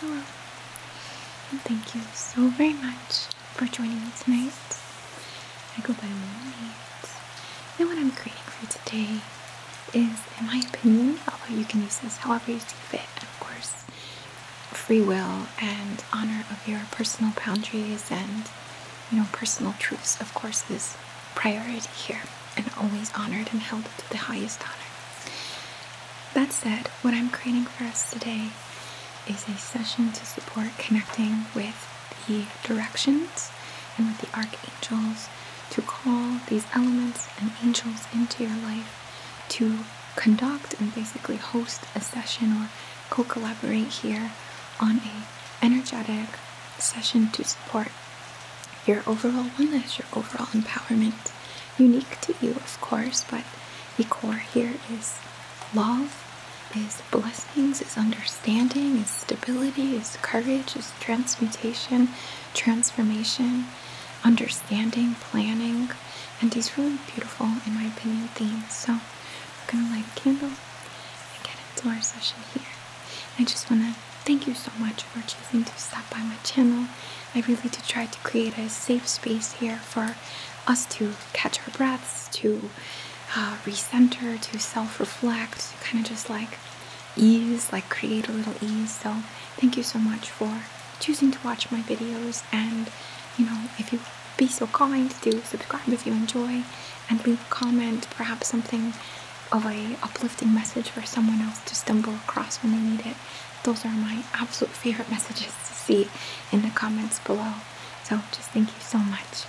Hello, thank you so very much for joining me tonight. I go by Moonlight, and what I'm creating for today is, in my opinion, although you can use this however you see fit, of course, free will and honor of your personal boundaries and, you know, personal truths, of course, is priority here and always honored and held to the highest honor. That said, what I'm creating for us today is a session to support connecting with the directions and with the archangels to call these elements and angels into your life to conduct and basically host a session or co-collaborate here on a energetic session to support your overall wellness, your overall empowerment. Unique to you, of course, but the core here is love, is blessings, is understanding, is stability, is courage, is transmutation, transformation, understanding, planning, and these really beautiful, in my opinion, themes. So we're gonna light a candle and get into our session here. I just wanna thank you so much for choosing to stop by my channel. I really do try to create a safe space here for us to catch our breaths, to uh, recenter, to self-reflect, kind of just like ease, like create a little ease. So thank you so much for choosing to watch my videos and you know if you be so kind to subscribe if you enjoy and leave a comment, perhaps something of a uplifting message for someone else to stumble across when they need it. Those are my absolute favorite messages to see in the comments below. So just thank you so much.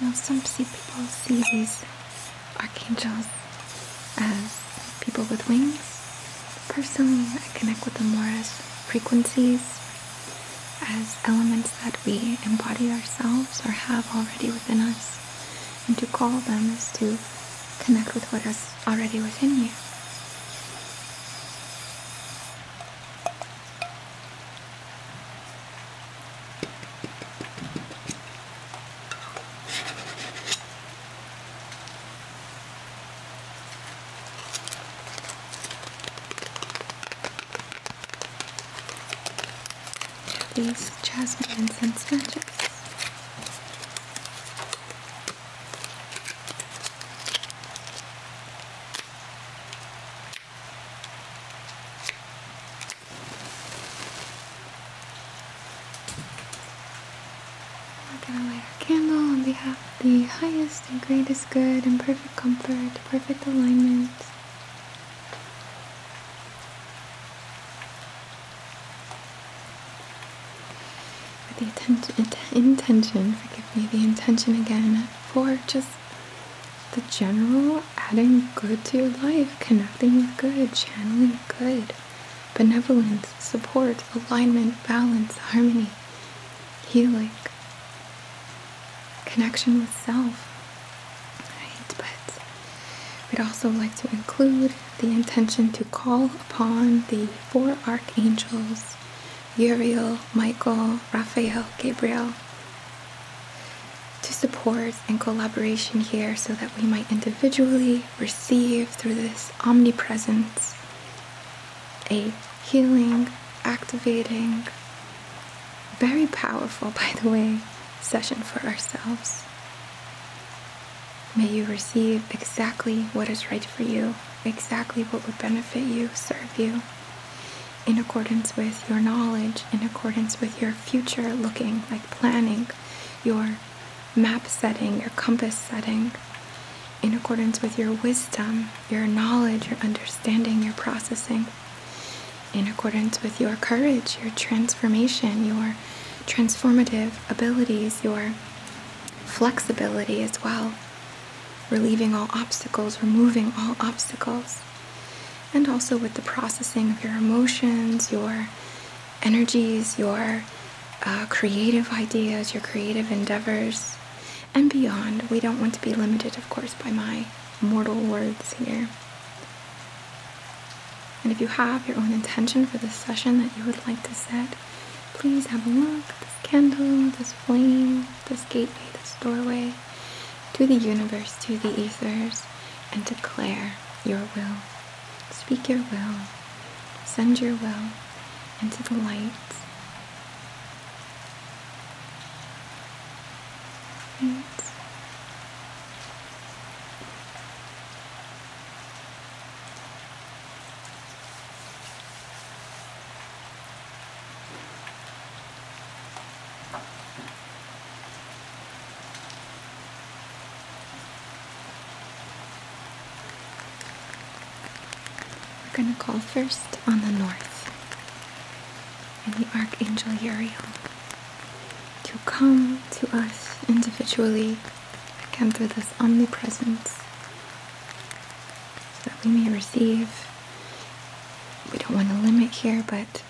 Now, some people see these archangels as people with wings. Personally, I connect with them more as frequencies, as elements that we embody ourselves or have already within us. And to call them is to connect with what is already within you. These jasmine incense matches. We're gonna light our candle on behalf of the highest and greatest good and perfect comfort, perfect alignment. With the attention, intention, forgive me, the intention again for just the general adding good to your life, connecting with good, channeling good, benevolence, support, alignment, balance, harmony, healing connection with self. Right? But we'd also like to include the intention to call upon the four archangels Uriel, Michael, Raphael, Gabriel to support and collaboration here so that we might individually receive through this omnipresence a healing, activating, very powerful, by the way, session for ourselves. May you receive exactly what is right for you, exactly what would benefit you, serve you, in accordance with your knowledge, in accordance with your future looking, like planning, your map setting, your compass setting, in accordance with your wisdom, your knowledge, your understanding, your processing in accordance with your courage, your transformation, your transformative abilities, your flexibility as well, relieving all obstacles, removing all obstacles, and also with the processing of your emotions, your energies, your uh, creative ideas, your creative endeavors, and beyond. We don't want to be limited, of course, by my mortal words here. And if you have your own intention for this session that you would like to set, please have a look at this candle, this flame, this gateway, this doorway to the universe, to the ethers, and declare your will. Speak your will, send your will into the light. We're going to call first on the north and the Archangel Uriel to come to us individually and through this omnipresence so that we may receive. We don't want to limit here, but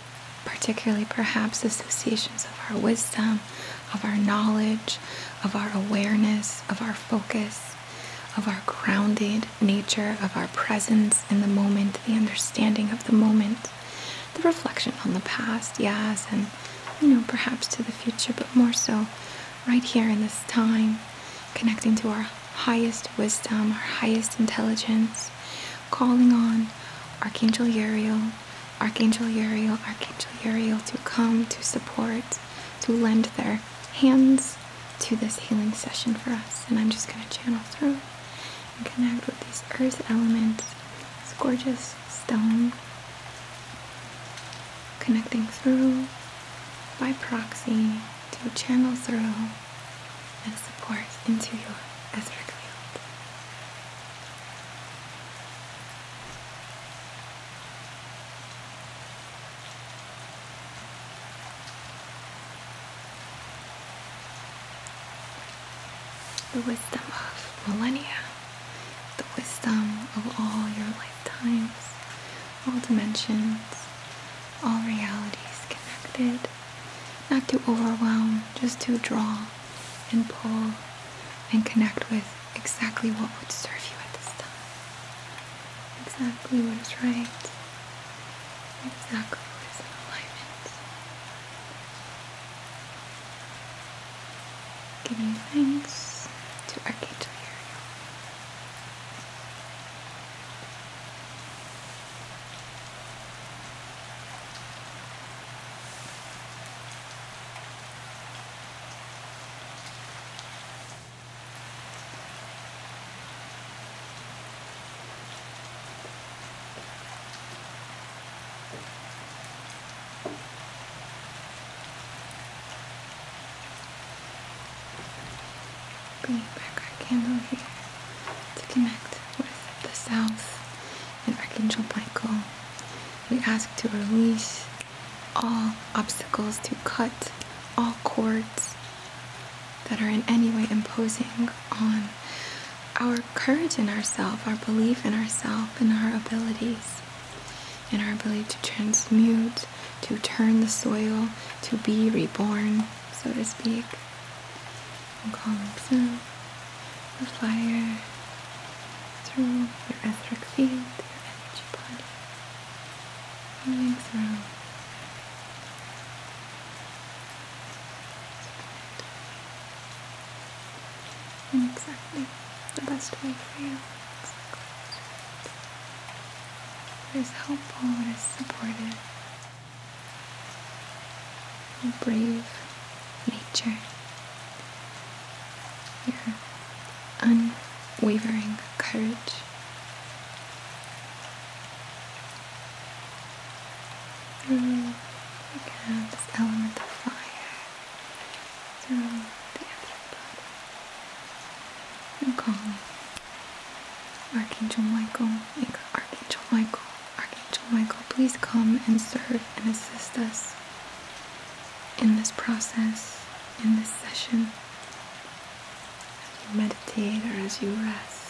particularly perhaps associations of our wisdom, of our knowledge, of our awareness, of our focus, of our grounded nature, of our presence in the moment, the understanding of the moment the reflection on the past, yes, and you know, perhaps to the future, but more so right here in this time, connecting to our highest wisdom, our highest intelligence, calling on Archangel Uriel, Archangel Uriel, Archangel Uriel to come to support, to lend their hands to this healing session for us. And I'm just going to channel through connect with these earth elements, this gorgeous stone, connecting through by proxy to channel through and support into your etheric field. The wisdom of millennia, the wisdom of all your lifetimes, all dimensions, all realities connected, not to overwhelm, just to draw and pull and connect with exactly what would serve you at this time, exactly what is right, exactly what is in alignment. Giving thanks to Archangel Uriel bring back our candle here to connect with the south and Archangel Michael. We ask to release all obstacles, to cut all cords that are in any way imposing on our courage in ourselves, our belief in ourselves, and our abilities, and our ability to transmute, to turn the soil, to be reborn, so to speak. I'm calling through the fire through your etheric field, your energy body, moving through and exactly the best way for you. Exactly. What is helpful, what is supportive. Your brave nature. Your unwavering courage through mm, again this element of fire through the astral body. I'm calling Archangel Michael, Archangel Michael, Archangel Michael, please come and serve and assist us in this process, in this session, as you meditate or as you rest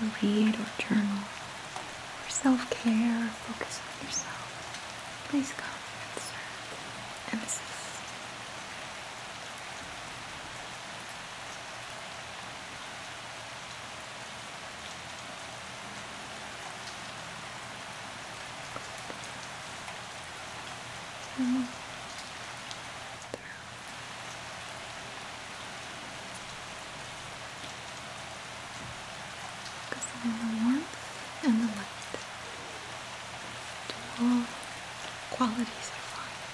or read or journal or self-care or focus on yourself, please come and serve and assist. Through. Because of the warmth and the light. Dual qualities are fine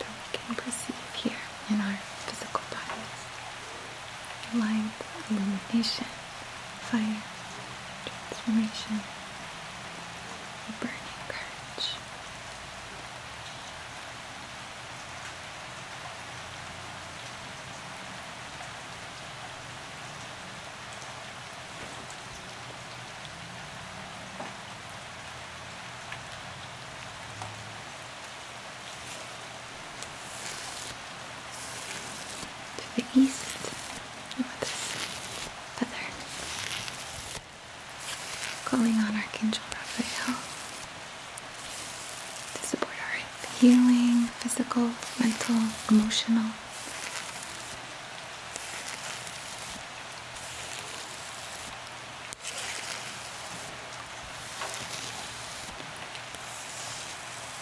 that we can perceive here in our physical bodies. Light, illumination, fire, transformation, burning courage to the east with oh, this feather calling on Archangel Raphael to support our healing, physical, mental, emotional.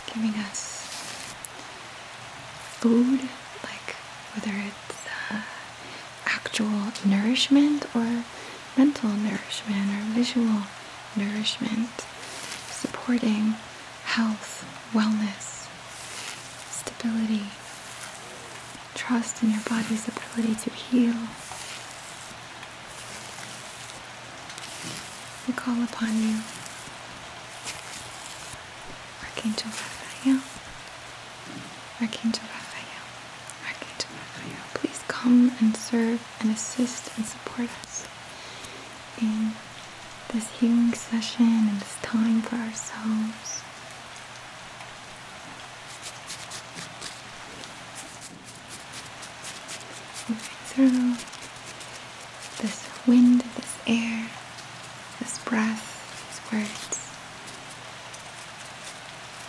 Giving us food, like whether it's uh, actual nourishment or mental nourishment or visual nourishment, supporting health, wellness, stability, trust in your body's ability to heal. We call upon you, Archangel Raphael. Archangel Raphael, Archangel Raphael, please come and serve and assist and support us in this healing session and this time for ourselves. Moving through this wind, this air, this breath, these words,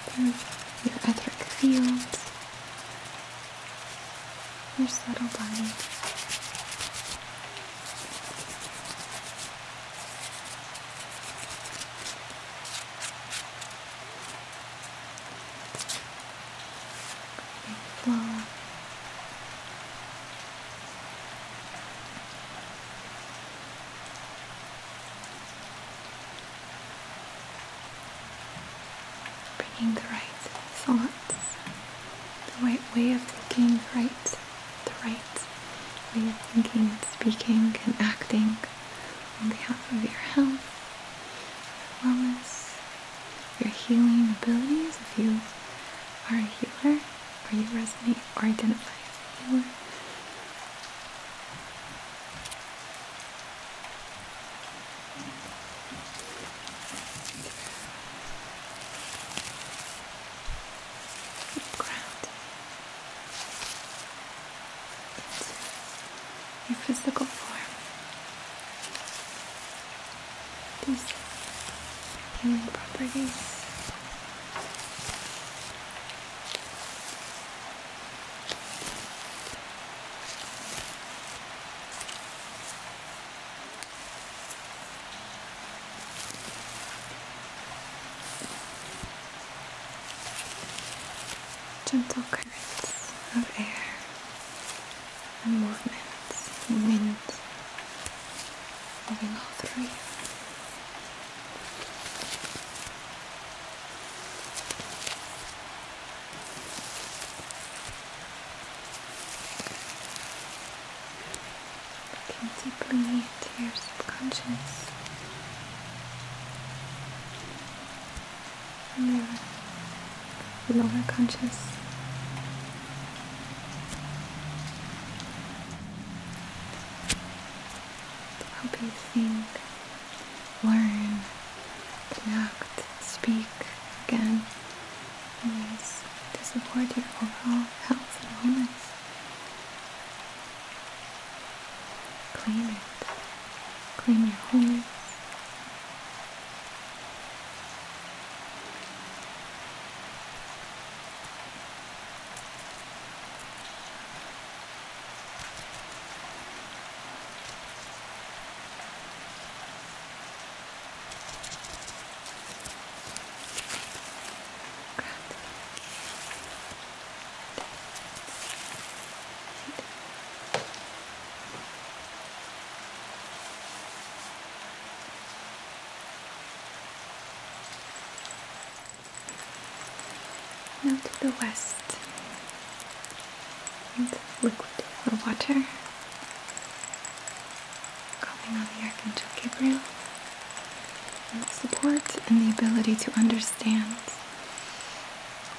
through your etheric fields your subtle body. Flow. Bringing the right thoughts, the right way of thinking, the right, the right way of thinking and speaking and acting on behalf of your health, your wellness, your healing abilities. If you are a healer, or you resonate or identify as a healer ground your physical form. These healing properties gentle currents of air and movements and wind moving all through you. I can not deeply into your subconscious and your lower conscious. Help you think learn, connect, speak again in to support your overall health and wellness. Claim it. Claim your wholeness. Now to the west, liquid water coming on the Archangel Gabriel support and the ability to understand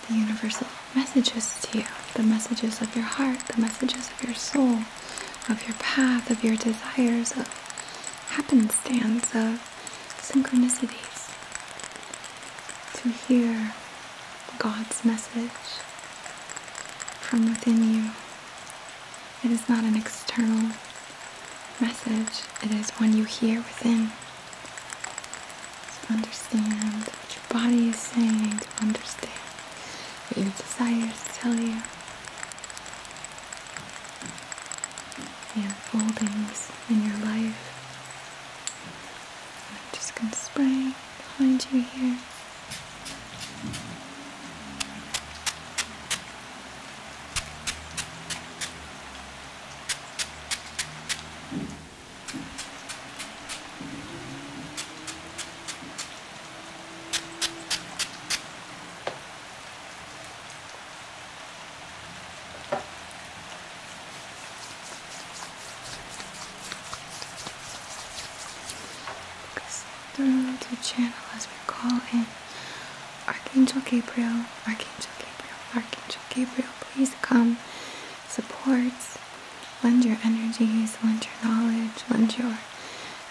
the universal messages to you, the messages of your heart, the messages of your soul, of your path, of your desires, of happenstance, of synchronicities. To hear God's message from within you. It is not an external message, it is one you hear within. To understand what your body is saying, to understand what your desires tell you. The unfoldings in your life. I'm just going to spray behind you here through the channel as we call in Archangel Gabriel, Archangel Gabriel, Archangel Gabriel, please come, support, lend your energies, lend your knowledge, lend your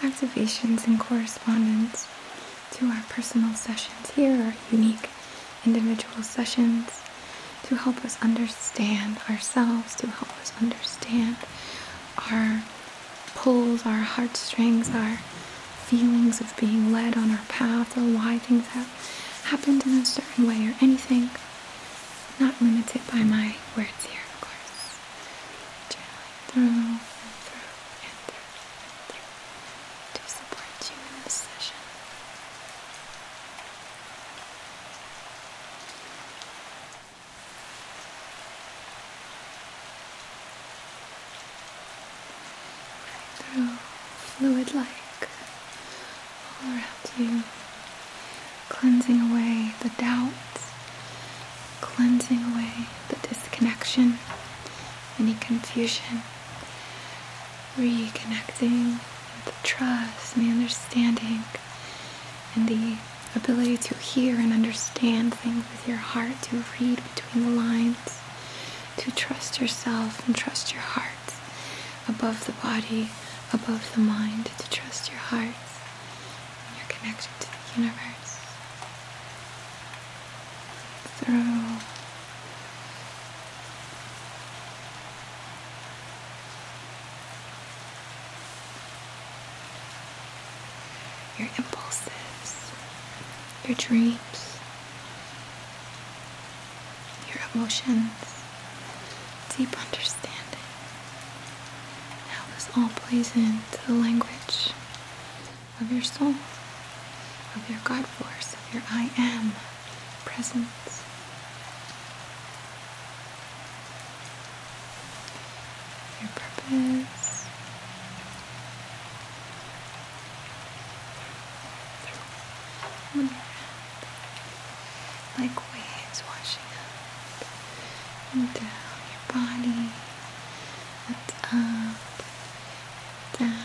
activations and correspondence to our personal sessions here, are unique individual sessions to help us understand ourselves, to help us understand our pulls, our heartstrings, our feelings of being led on our path or why things have happened in a certain way or anything. Not limited by my words here, of course. Channeling through and through and through through to support you in this session through fluid like around you, cleansing away the doubts, cleansing away the disconnection, any confusion, reconnecting with the trust and the understanding and the ability to hear and understand things with your heart, to read between the lines, to trust yourself and trust your heart above the body, above the mind, to trust your heart and your connection to the universe through your impulses, your dreams, your emotions, deep understanding, how this all plays into the language of your soul, of your God force, of your I am. Your presence. Your purpose through like waves washing up and down your body, and up, down,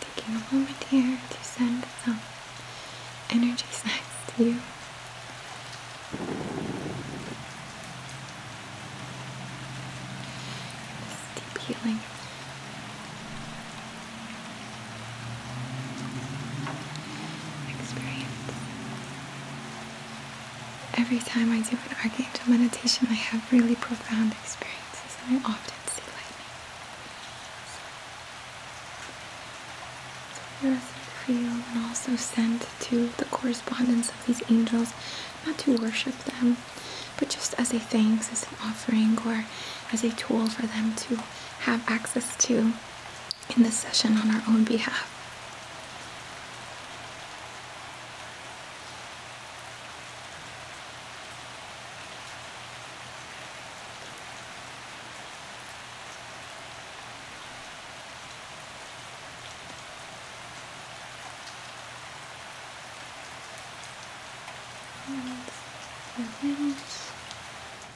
Taking a moment here to send some energy signs to you. deep healing. Experience. Every time I do an archangel meditation, I have really profound experiences, and I often see lightning. So you're asking to feel and also send to the correspondence of these angels, not to worship them, but just as a thanks, as an offering, or as a tool for them to have access to in this session on our own behalf. And your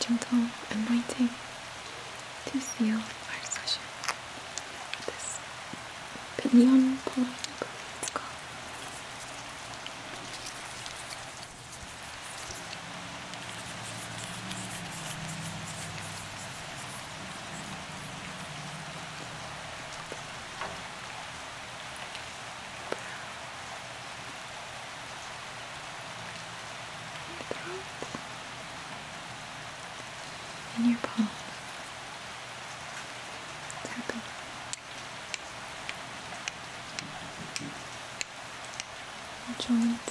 Gentle anointing to seal our session this pinion pulling, and your palm. It's happy. Your joints.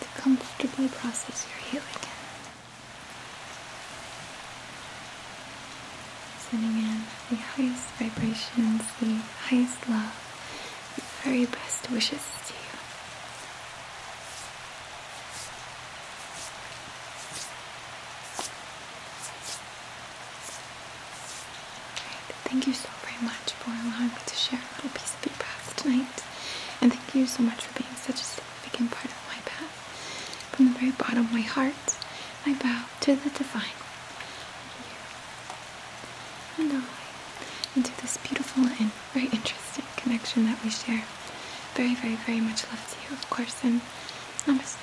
to comfortably process your healing in. Sending in the highest vibrations, the highest love, the very best wishes to you. thank you so very much for allowing me to share a little piece of your path tonight. And thank you so much for being such a significant part of my path. From the very bottom of my heart, I bow to the divine. And I into this beautiful and very interesting connection that we share. Very, very, very much love to you, of course, and namaste.